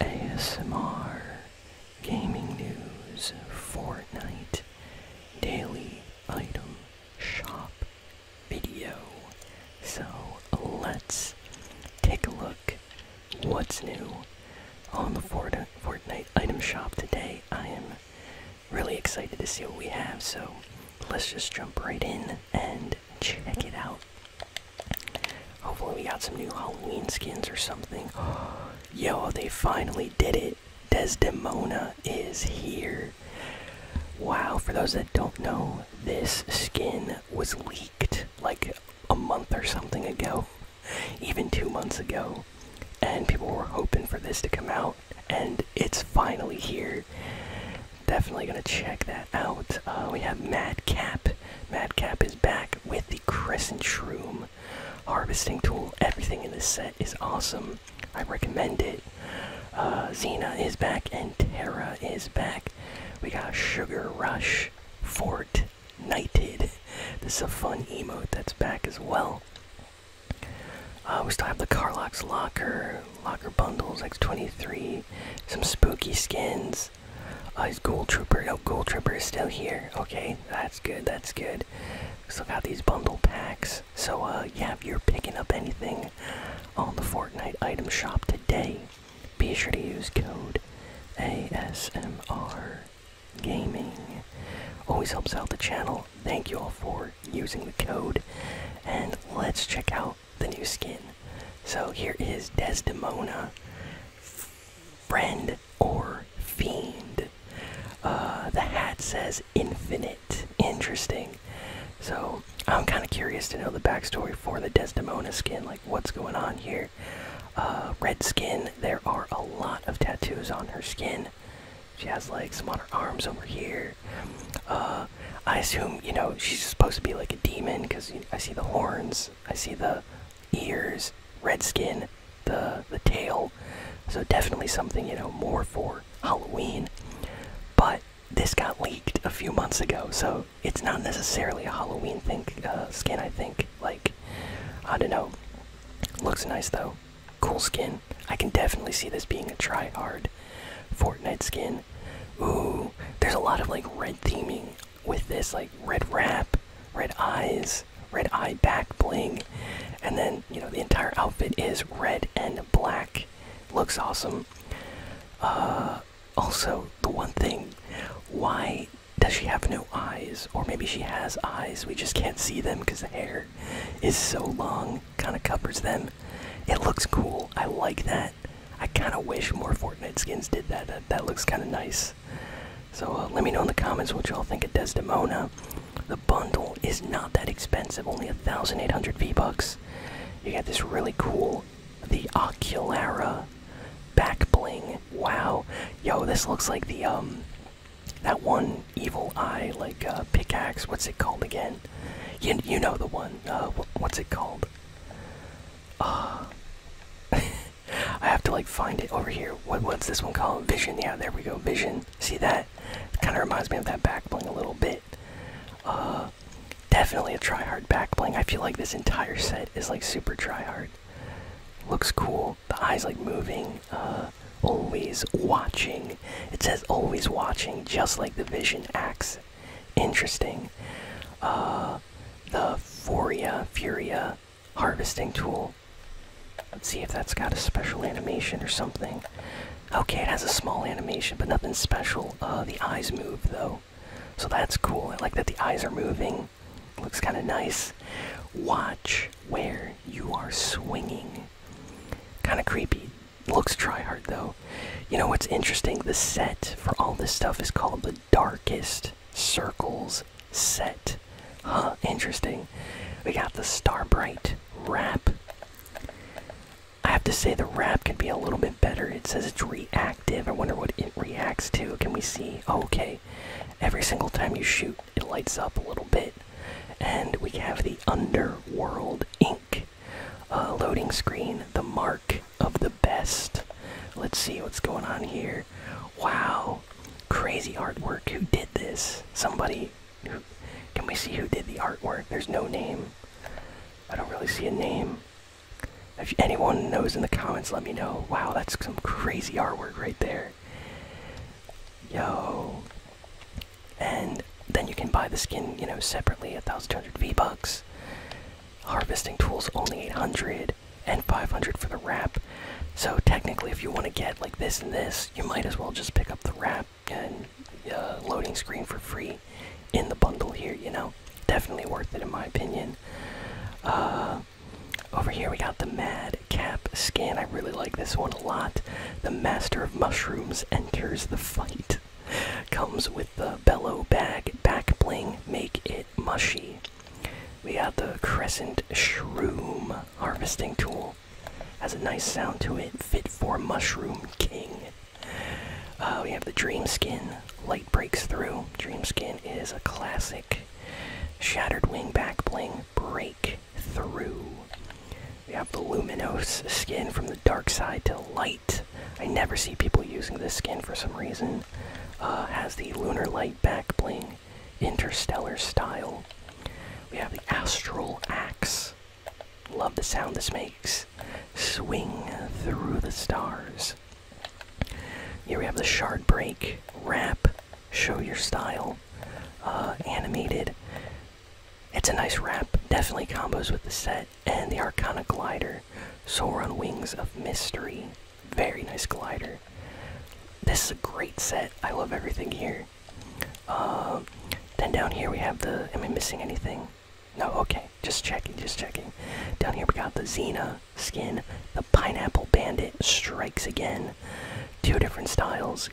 ASMR, gaming news, Fortnite, daily item shop video. So let's take a look what's new on the Fortnite item shop today. I am really excited to see what we have, so let's just jump right in and check it out. Hopefully, we got some new Halloween skins or something. Yo, they finally did it. Desdemona is here. Wow, for those that don't know, this skin was leaked like a month or something ago, even two months ago. And people were hoping for this to come out, and it's finally here. Definitely gonna check that out. Uh, we have Madcap Madcap is back with the Crescent Shroom harvesting tool. Everything in this set is awesome. I recommend it. Uh, Xena is back and Terra is back. We got Sugar Rush, Fort Knighted. This is a fun emote that's back as well. Uh, we still have the Carlox Locker, Locker Bundles, X23, some spooky skins, uh, is. Uh, Gold Trooper? No, Gold Trooper is still here. Okay, that's good. That's good. Still got these bundle packs. So uh, yeah, if you're picking up anything on the Fortnite item shop today, be sure to use code ASMR Gaming. Always helps out the channel. Thank you all for using the code, and let's check out the new skin. So here is Desdemona, friend or fiend. Uh, the hat says infinite. Interesting. So I'm kind of curious to know the backstory for the Desdemona skin, like what's going on here. Uh, red skin, there are a lot of tattoos on her skin. She has like some on her arms over here. Uh, I assume, you know, she's supposed to be like a demon because I see the horns I see the ears, red skin, the the tail. So definitely something you know more for Halloween. But this got leaked a few months ago, so it's not necessarily a Halloween think uh, skin. I think like I don't know. Looks nice though. Cool skin. I can definitely see this being a try hard Fortnite skin. Ooh, there's a lot of like red theming with this like red wrap, red eyes, red eye back bling, and then you know the entire outfit is red and black. Looks awesome. Uh, also, the one thing, why does she have no eyes? Or maybe she has eyes, we just can't see them because the hair is so long, kind of covers them. It looks cool. I like that. I kind of wish more Fortnite skins did that. That, looks kind of nice. So uh, let me know in the comments what y'all think of Desdemona. The bundle is not that expensive, only 1,800 V-Bucks. You got this really cool, the Oculara back bling. Wow. Yo, this looks like the, um, that one evil eye, like, uh, pickaxe. What's it called again? You, you know the one. Uh, what's it called? Uh, I have to like find it over here. What what's this one called? Vision. Yeah, there we go. Vision. See that? Kind of reminds me of that back bling a little bit. Uh, definitely a try hard back bling. I feel like this entire set is like super try hard. Looks cool. The eyes like moving. Uh, always watching. It says always watching, just like the Vision acts. Interesting. Uh, the Furia Furia harvesting tool. Let's see if that's got a special animation or something. Okay, it has a small animation, but nothing special. Uh, the eyes move though, so that's cool. I like that the eyes are moving. Looks kind of nice. Watch where you are swinging. Kind of creepy. Looks tryhard though. You know what's interesting? The set for all this stuff is called the darkest circles set. interesting. We got the Starbright wrap. I have to say the wrap can be a little bit better. It says it's reactive. I wonder what it reacts to. Can we see? Oh, okay. Every single time you shoot, it lights up a little bit. And we have the Underworld Ink uh, loading screen, the mark, of the best. Let's see what's going on here. Wow, crazy artwork. Who did this? Somebody. can we see who did the artwork? There's no name. I don't really see a name. If anyone knows in the comments, let me know. Wow, that's some crazy artwork right there. Yo. And then you can buy the skin, you know, separately, 1,200 V-Bucks harvesting tools only 800 and 500 for the wrap so technically if you want to get like this and this you might as well just pick up the wrap and uh, loading screen for free in the bundle here you know definitely worth it in my opinion uh, over here we got the mad cap skin i really like this one a lot the master of mushrooms enters the fight comes with the bellow bag back bling make it mushy. We have the Crescent Shroom harvesting tool. Has a nice sound to it, fit for Mushroom King. Uh, we have the Dream Skin, light breaks through. Dream Skin is a classic. Shattered Wing back bling, break through. We have the Luminous skin from the dark side to light. I never see people using this skin for some reason. Uh, has the Lunar Light back bling, interstellar style. We have the Astral Axe. Love the sound this makes. Swing through the stars. Here we have the Shard Break. Wrap. Show your style. Uh, animated. It's a nice wrap. Definitely combos with the set and the Arcana Glider, Soar on Wings of Mystery. Very nice glider. This is a great set. I love everything here. Uh, then down here we have the. Am I missing anything? No. Okay. Just checking. Just checking. Down here we got the Xena skin. The Pineapple Bandit strikes again. Two different styles.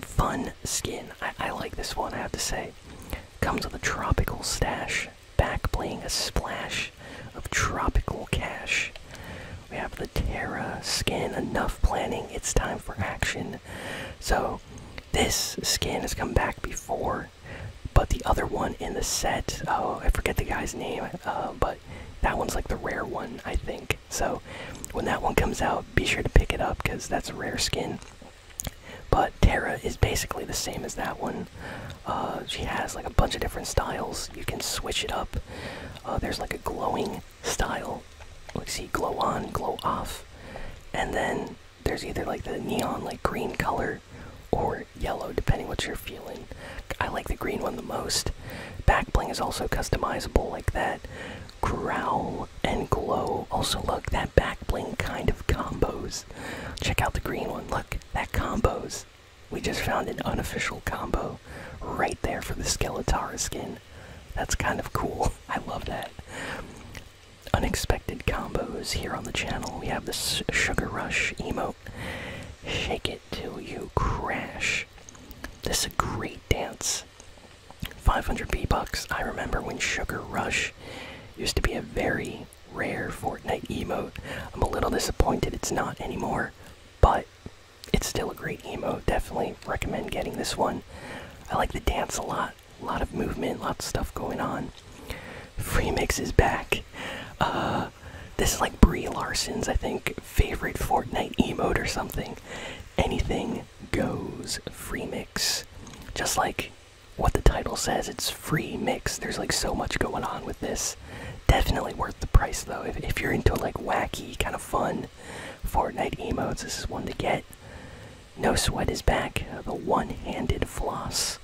Fun skin. I, I like this one. I have to say. Comes with a tropical stash back playing a splash of tropical cash. We have the Terra skin, enough planning, it's time for action. So, this skin has come back before, but the other one in the set, oh, I forget the guy's name, uh, but that one's like the rare one, I think. So, when that one comes out, be sure to pick it up because that's a rare skin. But Terra is basically the same as that one. Uh, she has like a bunch of different styles. You can switch it up. Uh, there's like a glowing style. Let's see, glow on, glow off, and then there's either like the neon, like green color, or yellow, depending what you're feeling. I like the green one the most. Back bling is also customizable like that. Growl and glow. Also, look that back bling kind of combos. Check out the green one. Look, that combos. We just found an unofficial combo right there for the Skeletara skin. That's kind of cool. I love that. Unexpected combos here on the channel. We have the Sugar Rush emote. Shake it till you crash. This is a great dance. 500 B I remember when Sugar Rush used to be a very rare Fortnite emote. I'm a little disappointed it's not anymore, but it's still a great emote. Definitely recommend getting this one. I like the dance a lot. A lot of movement, lots of stuff going on. Free mix is back. Uh, this is like Brie Larson's, I think, favorite Fortnite emote or something. Anything goes. Free mix. Just like what the title says. It's free mix. There's like so much going on with this. Definitely worth the price though. If, if you're into like wacky, kind of fun Fortnite emotes, this is one to get. No Sweat is back. The one handed floss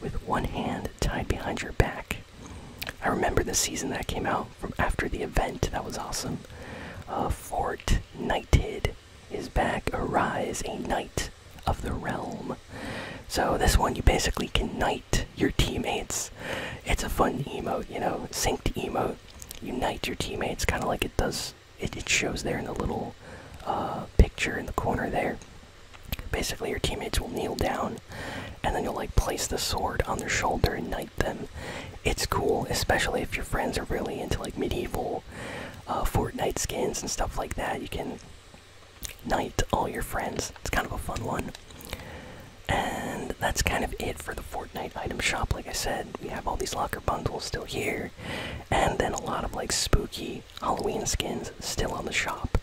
with one hand tied behind your back. I remember the season that came out from after the event. That was awesome. Uh, Fortnited is back. Arise, a knight of the realm. So this one you basically can knight your teammates. It's a fun emote, you know, synced emote. Unite your teammates, kind of like it does. It, shows there in the little uh, picture in the corner there. Basically, your teammates will kneel down, and then you'll like place the sword on their shoulder and knight them. It's cool, especially if your friends are really into like medieval uh, Fortnite skins and stuff like that. You can Night, all your friends. It's kind of a fun one. And that's kind of it for the Fortnite item shop. Like I said, we have all these locker bundles still here, and then a lot of like spooky Halloween skins still on the shop.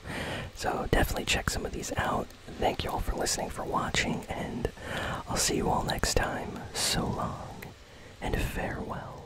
So definitely check some of these out. Thank you all for listening, for watching, and I'll see you all next time. So long, and farewell.